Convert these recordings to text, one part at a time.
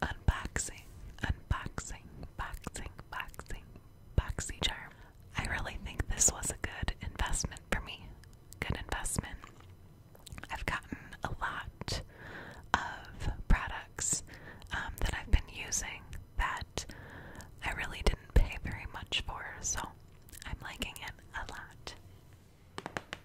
Unboxing, unboxing, boxing, boxing, boxy charm. I really think this was a good investment for me. Good investment. I've gotten a lot of products um, that I've been using that I really didn't pay very much for, so I'm liking it a lot.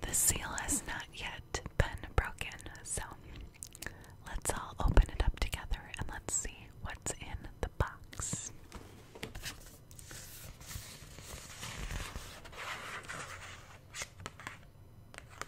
The seal has not yet been broken, so let's all open it up together and let's see what's in the box.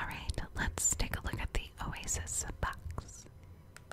All right, let's take a look at the Oasis box.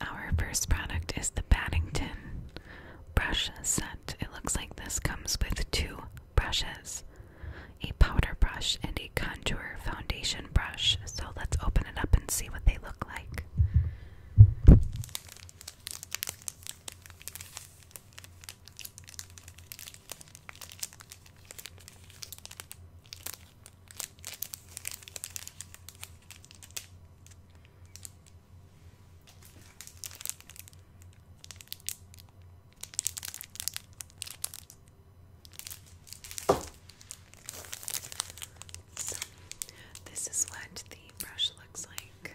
Our first product is the Paddington brush set. It looks like this comes with two brushes a powder brush and a contour foundation brush. So let's open it up and see what they look like. So, this is what the brush looks like.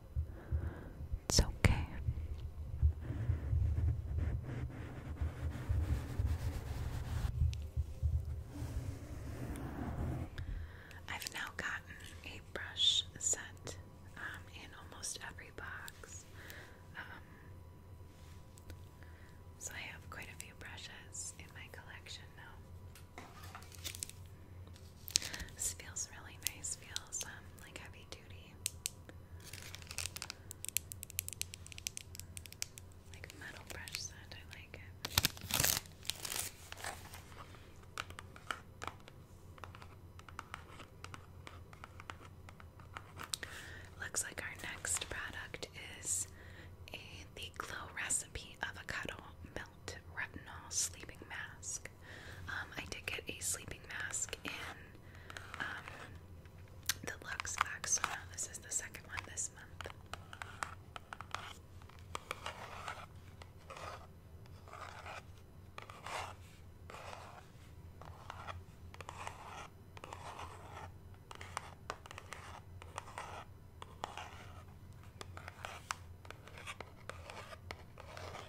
It's okay. I've now gotten a brush set um, in almost every box. Um, so I have quite a few brushes in my collection now. This feels really nice. Feels um, like heavy duty. Like metal brush scent, I like it. Looks like our next product is the Glow Recipe Avocado Milk retinol sleeping mask. Um, I did get a sleeping mask in um, the Lux Vaxona. This is the second one this month.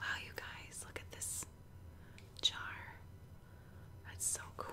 Wow, you guys, look at this jar. That's so cool.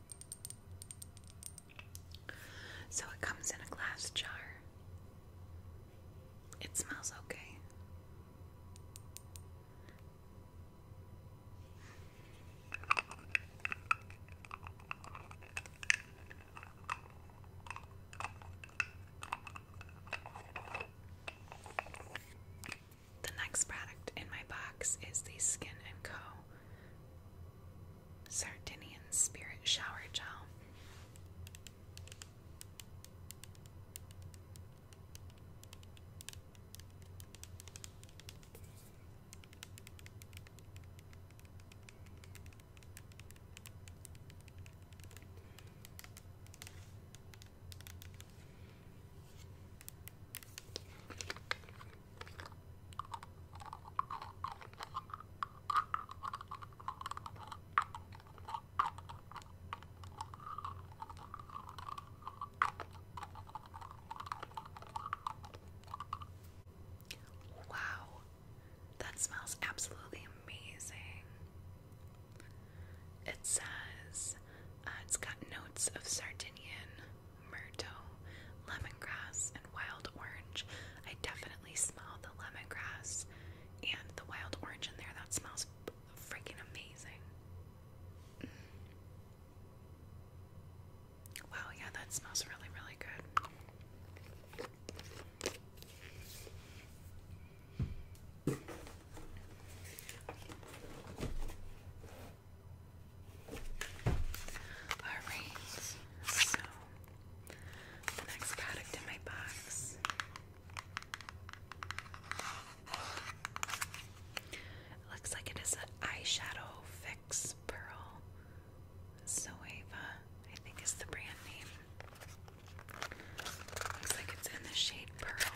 So it comes in a glass jar. It smells okay. The next product in my box is the Skin & Co. Sardinian Spirit Shower Gel. Wow, that smells absolutely amazing. It says uh, it's got notes of Sardinian, myrtle, lemongrass, and wild orange. I definitely smell the lemongrass and the wild orange in there. That smells freaking amazing. Mm. Wow, yeah, that smells really, really good. Alright, so the next product in my box it looks like it is an eyeshadow fix pearl. Zoeva, I think is the brand name. Looks like it's in the shade Pearl.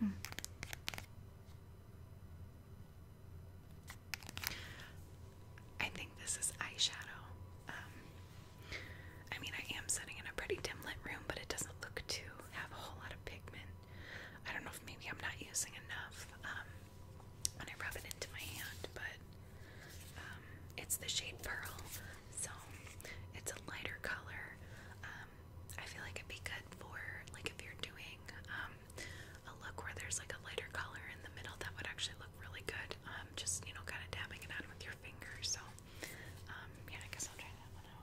Hmm. I think this is eyeshadow. Um, I mean, I am sitting in a pretty dim lit room, but it doesn't look to have a whole lot of pigment. I don't know if maybe I'm not using enough um, when I rub it into my hand, but um, it's the shade Pearl. So it's a lighter color. Um, I feel like it'd be good for like if you're doing um, a look where there's like a lighter color in the middle. That would actually look really good. Um, just you know, kind of dabbing it out with your fingers. So yeah, I guess I'll try that one out.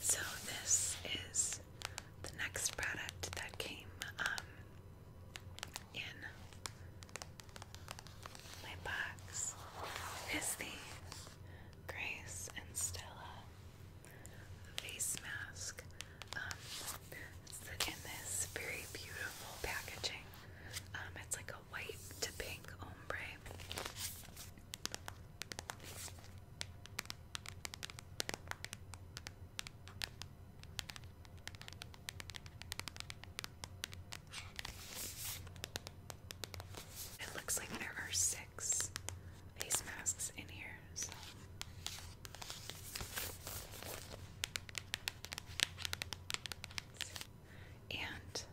So, this is the next product that came um, in my box. Is the Grace and Stella face mask. Um, in this very beautiful packaging. Um, it's like a white to pink ombre. It looks like there are six face masks in here, so. And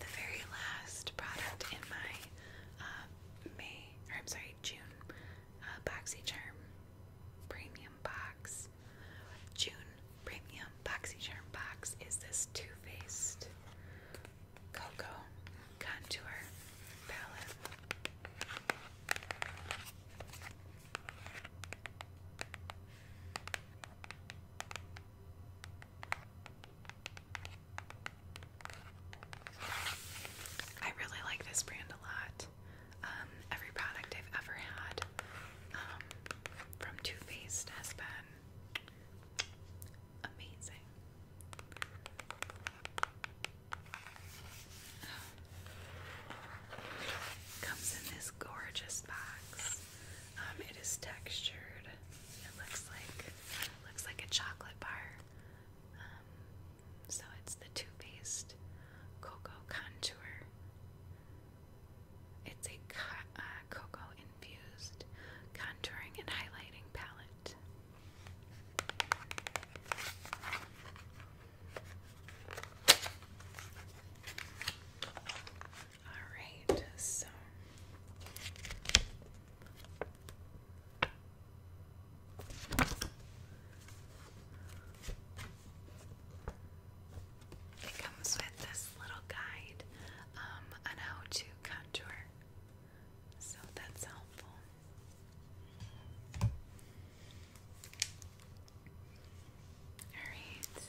the very last product in my uh, May, I'm sorry, June uh, premium box. June premium BoxyCharm box is this Too Faced Cocoa Contour Palette. I really like this brand a lot. Um, every product I've ever had um, from Too Faced has been amazing. Comes in this gorgeous box. Um, it is textured. It looks like looks like a chocolate bar. So it's the Too Faced Cocoa Contour. It's a co uh, cocoa infused contouring and highlighting palette. All right, so it comes with this little guide um, on how to contour, so that's helpful. All right.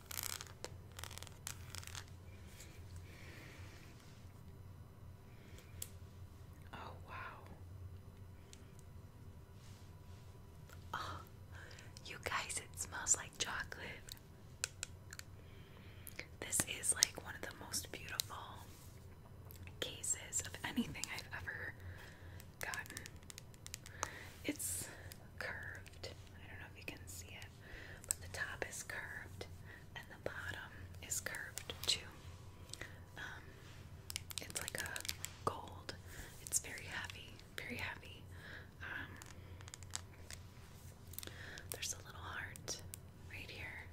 Oh, wow. Oh, you guys, it smells like chocolate. This is like one of the most beautiful cases of anything I've ever gotten. It's curved. I don't know if you can see it but the top is curved and the bottom is curved too. Um, it's like a gold. It's very heavy, very heavy. Um, there's a little heart right here.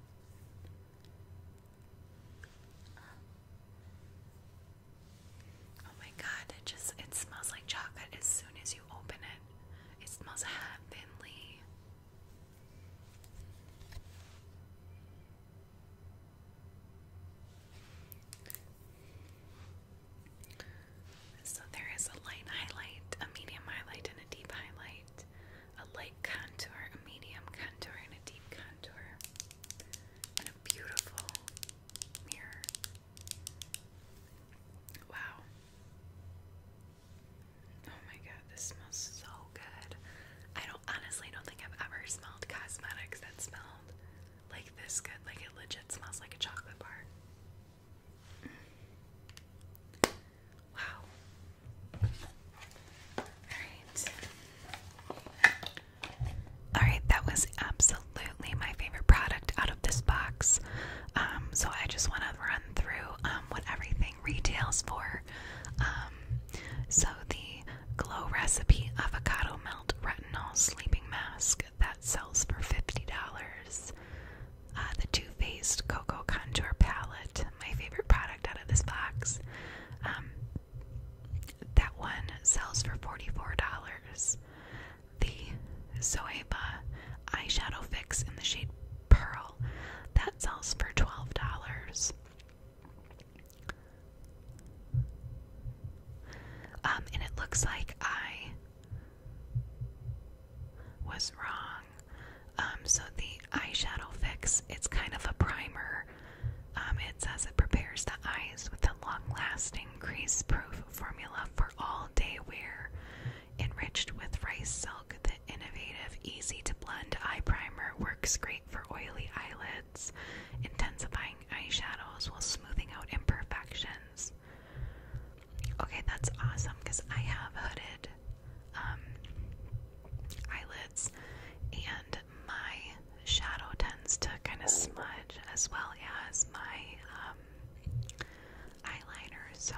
Oh my god, it just it smells like chocolate as soon as you open it. It smells heavenly. So there is a light highlight, a medium highlight, and a deep highlight. A light contour, a medium contour, and a deep contour. And a beautiful mirror. Wow. Oh my god, this smells so good. I don't honestly don't think I've ever smelled cosmetics that smelled like this good. Like it legit smells like a chocolate bar. Mm. Wow. Alright. Alright, that was absolutely my favorite product out of this box. Um, so I just want to run through um, what everything retails for. Um, so the Glow Recipe Avocado Melt Retinol Sleeping Mask that sells for $50. Uh, the Too Faced Cocoa Contour Palette, my favorite product out of this box. that one sells for $44 the Zoeva eyeshadow fix in the shade Pearl. That sells for $12. Um, and it looks like I was wrong. Um, so the eyeshadow fix, it's kind of a primer. Um, it says it prepares the eyes with a long-lasting, crease-proof formula for all day wear, enriched with rice silk. The innovative, easy to blend eye primer works great for oily eyelids, intensifying eyeshadows while smoothing out imperfections. Okay, that's awesome because I have hooded um, eyelids, and my shadow tends to kind of smudge as well as my um, eyeliner. So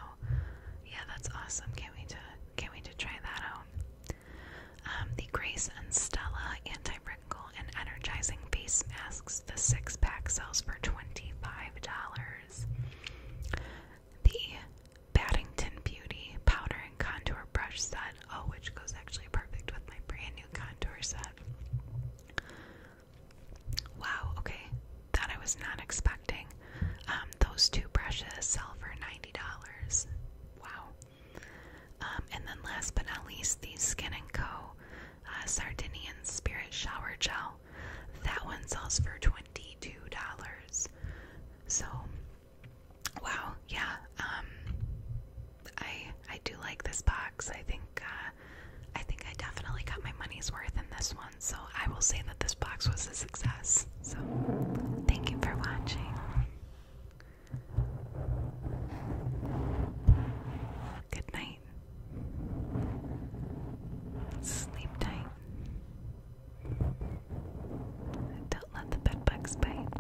yeah, that's awesome. Can't wait to can't wait to try that out. Um, the Grace and Stella anti-wrinkle and energizing face masks. The six pack sells for twenty-five dollars. The Paddington Beauty powder and contour brush set. Oh, which goes actually perfect with my brand new contour set. Wow, okay. That I was not expecting. Um, those two brushes sell for $90. Wow. Um, and then last but not least, these Skin & Co. Uh, Sardinian Spirit Shower Gel. That one sells for $22. So, wow, yeah. Um, I I do like this box. I think uh, I think I definitely got my money's worth in this one. So I will say that this box was a success. So thank you for watching. Good night. Sleep tight. Don't let the bed bugs bite.